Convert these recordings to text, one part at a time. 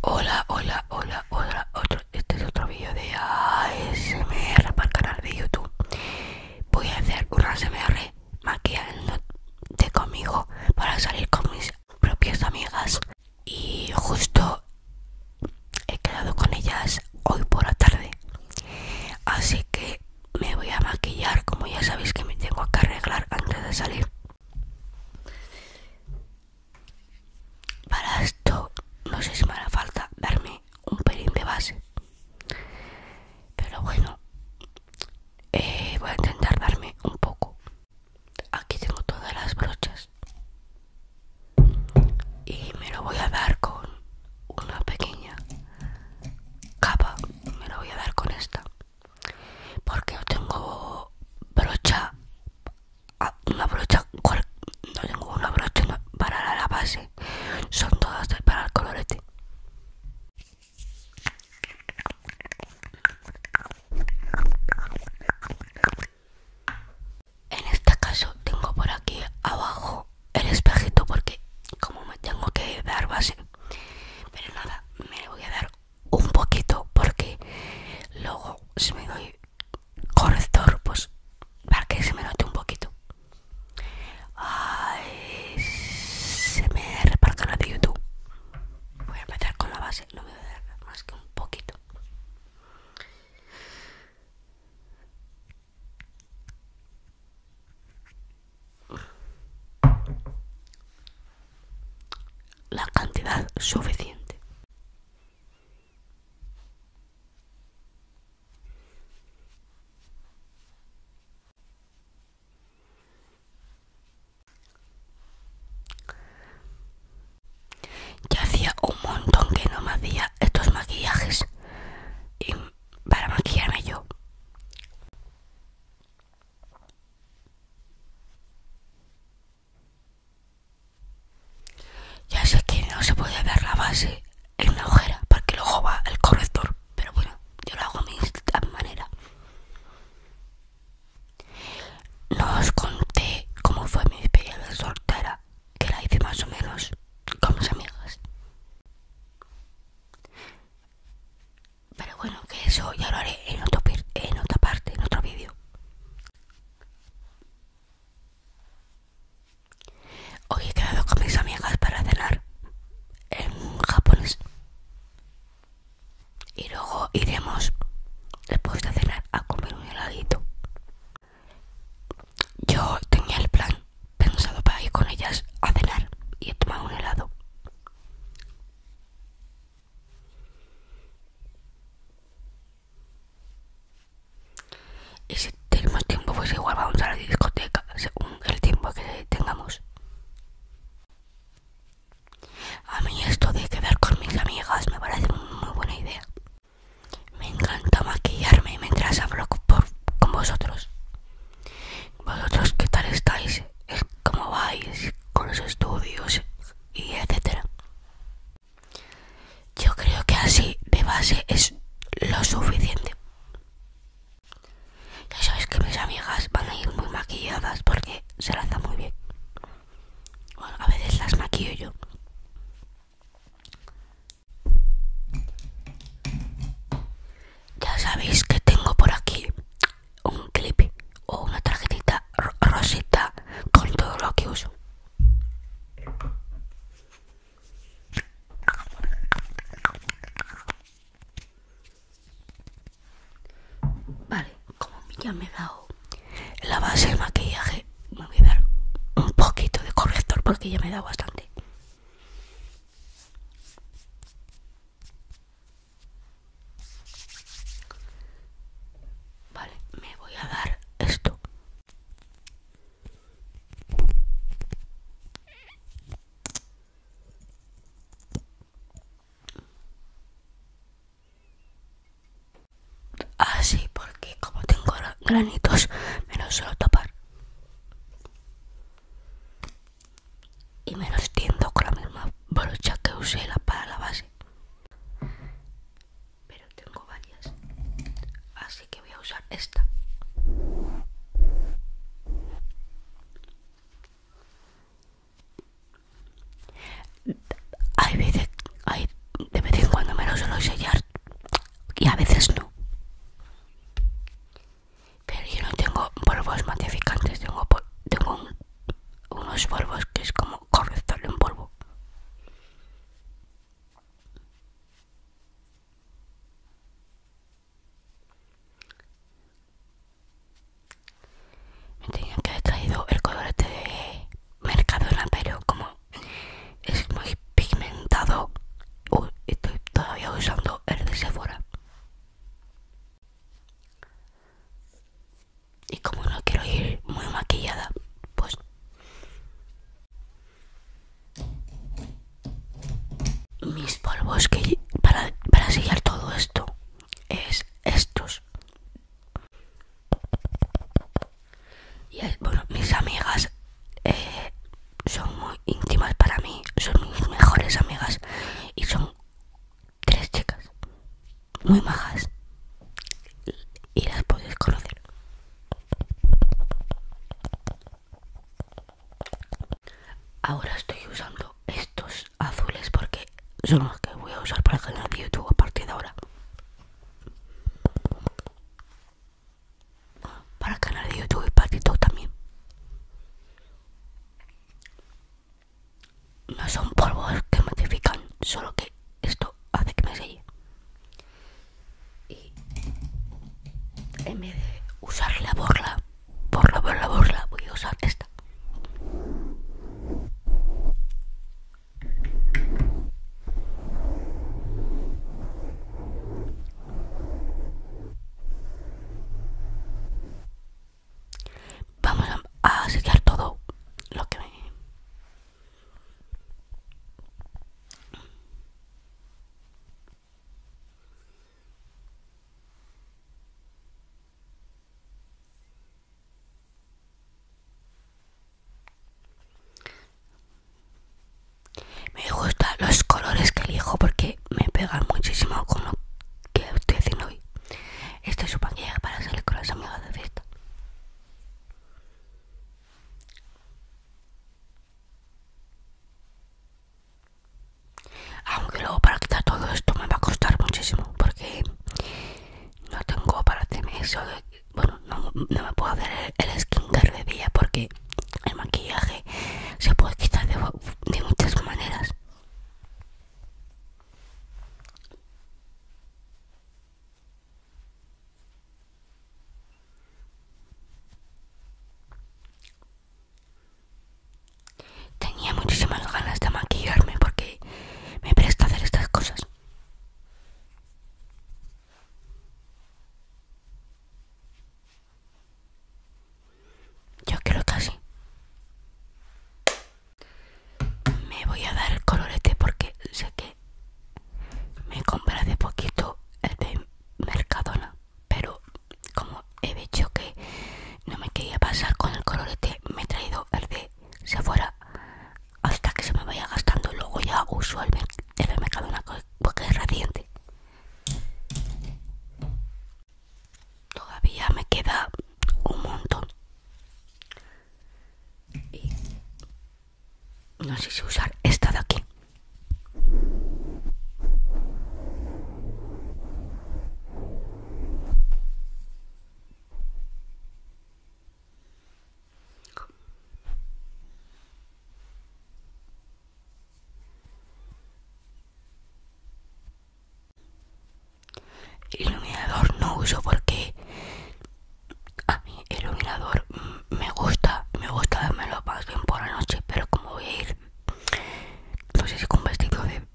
Hola, hola, hola, hola, otro, este es otro vídeo de ASMR para el canal de YouTube. Voy a hacer un ASMR maquillándote conmigo para salir con mis propias amigas. Y justo he quedado con ellas hoy por la tarde. Así que me voy a maquillar como ya sabéis que me tengo que arreglar antes de salir para esto no sé si me hará falta darme un pelín de base pero bueno eh, voy a intentar darme un poco aquí tengo todas las brochas y me lo voy a dar con una pequeña capa me lo voy a dar con esta porque yo tengo brocha ah, una brocha no tengo una brocha para la base son todas para el colorete en este caso tengo por aquí abajo el espejito porque como me tengo que dar base pero nada, me voy a dar un poquito porque luego si me doy corrector, pues para que se me note un poquito. se me reparto la de YouTube. Voy a empezar con la base, no voy a dar más que un poquito la cantidad suficiente. Ya hacía un montón que no me hacía estos maquillajes y para maquillarme yo. Ya sé que no se puede ver la base en una ojera porque lo va el corrector, pero bueno, yo lo hago a mi, manera. No os conté cómo fue mi experiencia de soltera, que la hice más o menos con mis amigas. Pero bueno, que eso ya lo haré en, en otra parte, en otro vídeo. Hoy he quedado con mis amigas para cenar en japonés. Y luego iremos después de cenar a comer un heladito. Yo tenía el plan pensado para ir con ellas a cenar y tomar tomar un helado. Y si tenemos tiempo, pues igual vamos a la discoteca, según el tiempo que tengamos. A mí esto de quedar con mis amigas me parece muy buena idea. Me encanta maquillarme mientras hablo con vosotros vosotros qué tal estáis, eh, cómo vais con los estudios y etcétera. Yo creo que así de base es lo suficiente. Ya sabéis que mis amigas van a ir muy maquilladas porque se las da muy bien. Bueno, a veces las maquillo yo ya sabéis que tengo por aquí un clip o una tarjetita rosita con todo lo que uso. Vale, como ya me he dado la base de maquillaje, me voy a dar un poquito de corrector porque ya me he dado bastante. Vale, me voy a dar esto. Así, porque como tengo granitos, me lo suelo tapar y me lo tiendo con la misma brocha que usé la para la base pero tengo varias así que voy a usar esta hay veces de vez en cuando me lo suelo sellar y a veces no pero yo no tengo polvos matificantes, tengo, tengo unos polvos que es como corrector en polvo. Me tenían que haber traído el colorete de Mercadona, pero como es muy pigmentado, estoy todavía usando el de Sephora. Y como no quiero ir muy maquillada, pues... Mis polvos que para, para sellar todo esto es estos. Y bueno, mis amigas eh, son muy íntimas para mí, son mis mejores amigas y son tres chicas muy majas y las podéis conocer. Ahora estoy usando estos azules porque son los que voy a usar para el canal de YouTube a partir de ahora para el canal de YouTube y para todo también. No son polvos que modifican, solo que esto hace que me selle. Y en vez de usar la borla, borla, borla, borla, voy a usar esta. Vamos a, sellar todo lo que me... Me gustan los colores que elijo porque me pegan muchísimo con lo que estoy haciendo hoy. Este es su panquilla para salir con las amigas de fiesta. Aunque luego para quitar todo esto me va a costar muchísimo porque no tengo para tener eso. bueno, no, me puedo hacer el, skin de porque el maquillaje se puede quitar de, muchas maneras Tenía muchísimas ganas de maquillarme porque me presta hacer estas cosas. Yo creo que así. Me voy a dar el colorete porque sé que me compré hace poquito el de Mercadona. Pero como he dicho que no me quería pasar con el colorete, me he traído el de Sephora hasta que se me vaya gastando. Luego ya uso el, el de Mercadona porque es reciente. Todavía me queda un montón. Y no sé si usar esta de aquí. Iluminador no uso porque a mí el iluminador me gusta, me gusta lo más bien por la noche, pero como voy a ir, no sé si con vestido de,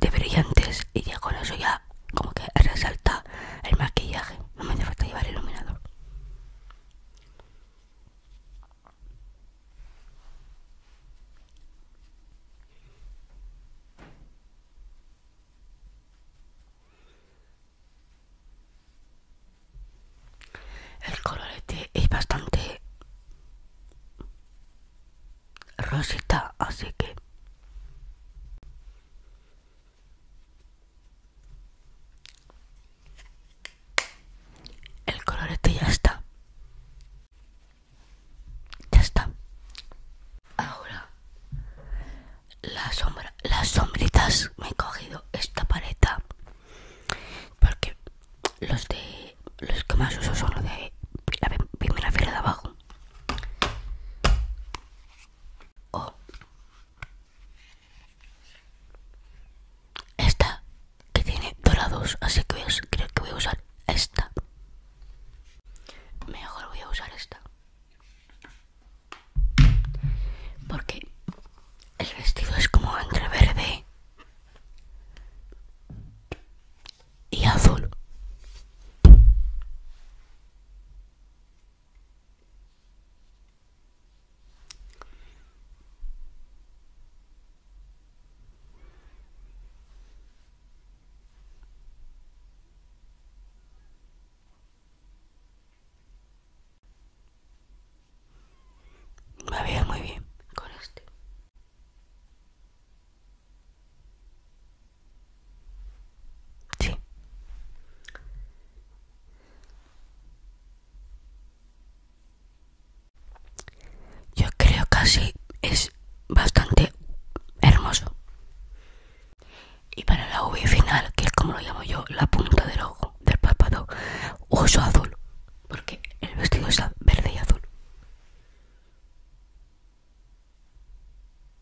de brillantes y ya con eso ya como que resalta el maquillaje, no me hace falta llevar el iluminador. El colorete es bastante rosita, así que el colorete ya está. Ya está. Ahora sombra, las sombritas me he cogido esta paleta porque los de los que más uso son los de la primera fila de abajo. Esta que tiene dorados, así que creo que voy a usar esta. Mejor voy a usar esta. Porque el vestido es como entre verde y azul. Me veo muy bien con este. Yo creo que así es bastante hermoso. Y para la UV final, que es como lo llamo yo, la punta del ojo, del párpado, uso azul, porque el vestido está verde y azul.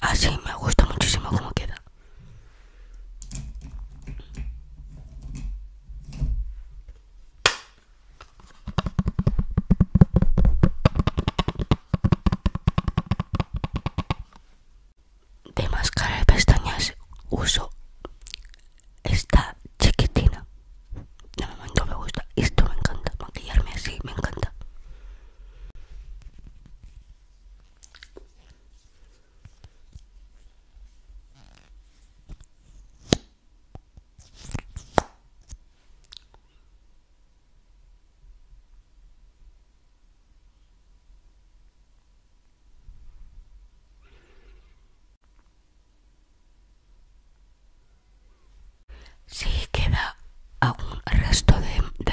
Así ah, me gusta muchísimo como queda. De máscara de pestañas uso esta chiquitina. De momento me gusta. Esto me encanta. Maquillarme así me encanta. Sí, queda aún resto de, de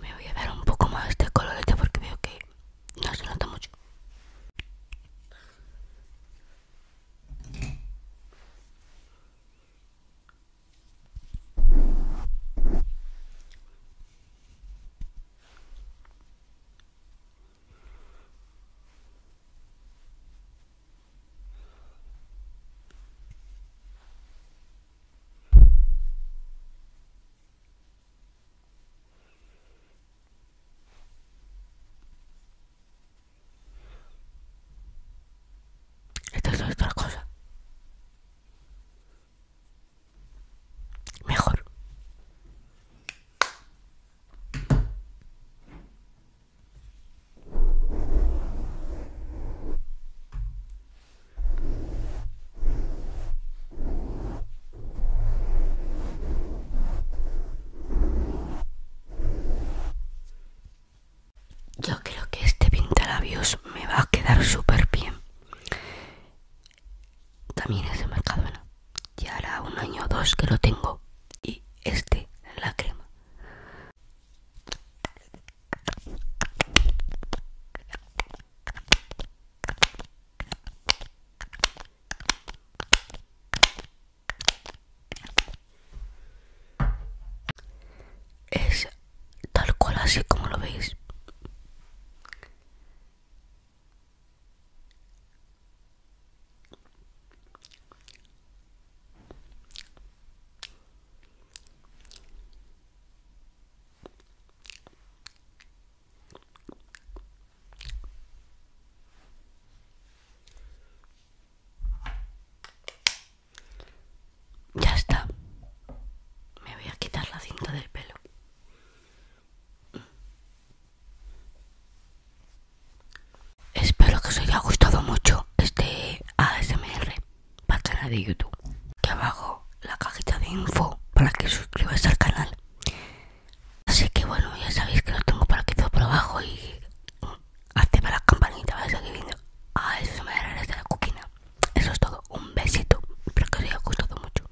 Me voy a dar un poco más de colorete porque veo que no se nota mucho. Esta es otra cosa. Mejor. Yo creo que este pintalabios me va a quedar super bien. También es de Mercadona. Ya hará un año o dos que lo tengo y este la crema es tal cual así como lo veis ya está. Me voy a quitar la cinta del pelo. Espero que os haya gustado mucho este ASMR para el canal de YouTube. Que abajo la cajita de info para que suscribáis al canal. Así que bueno, ya sabéis que lo tengo por aquí todo por abajo y mm, activa la campanita para seguir viendo ASMR desde la coquina. Eso es todo. Un besito. Espero que os haya gustado mucho.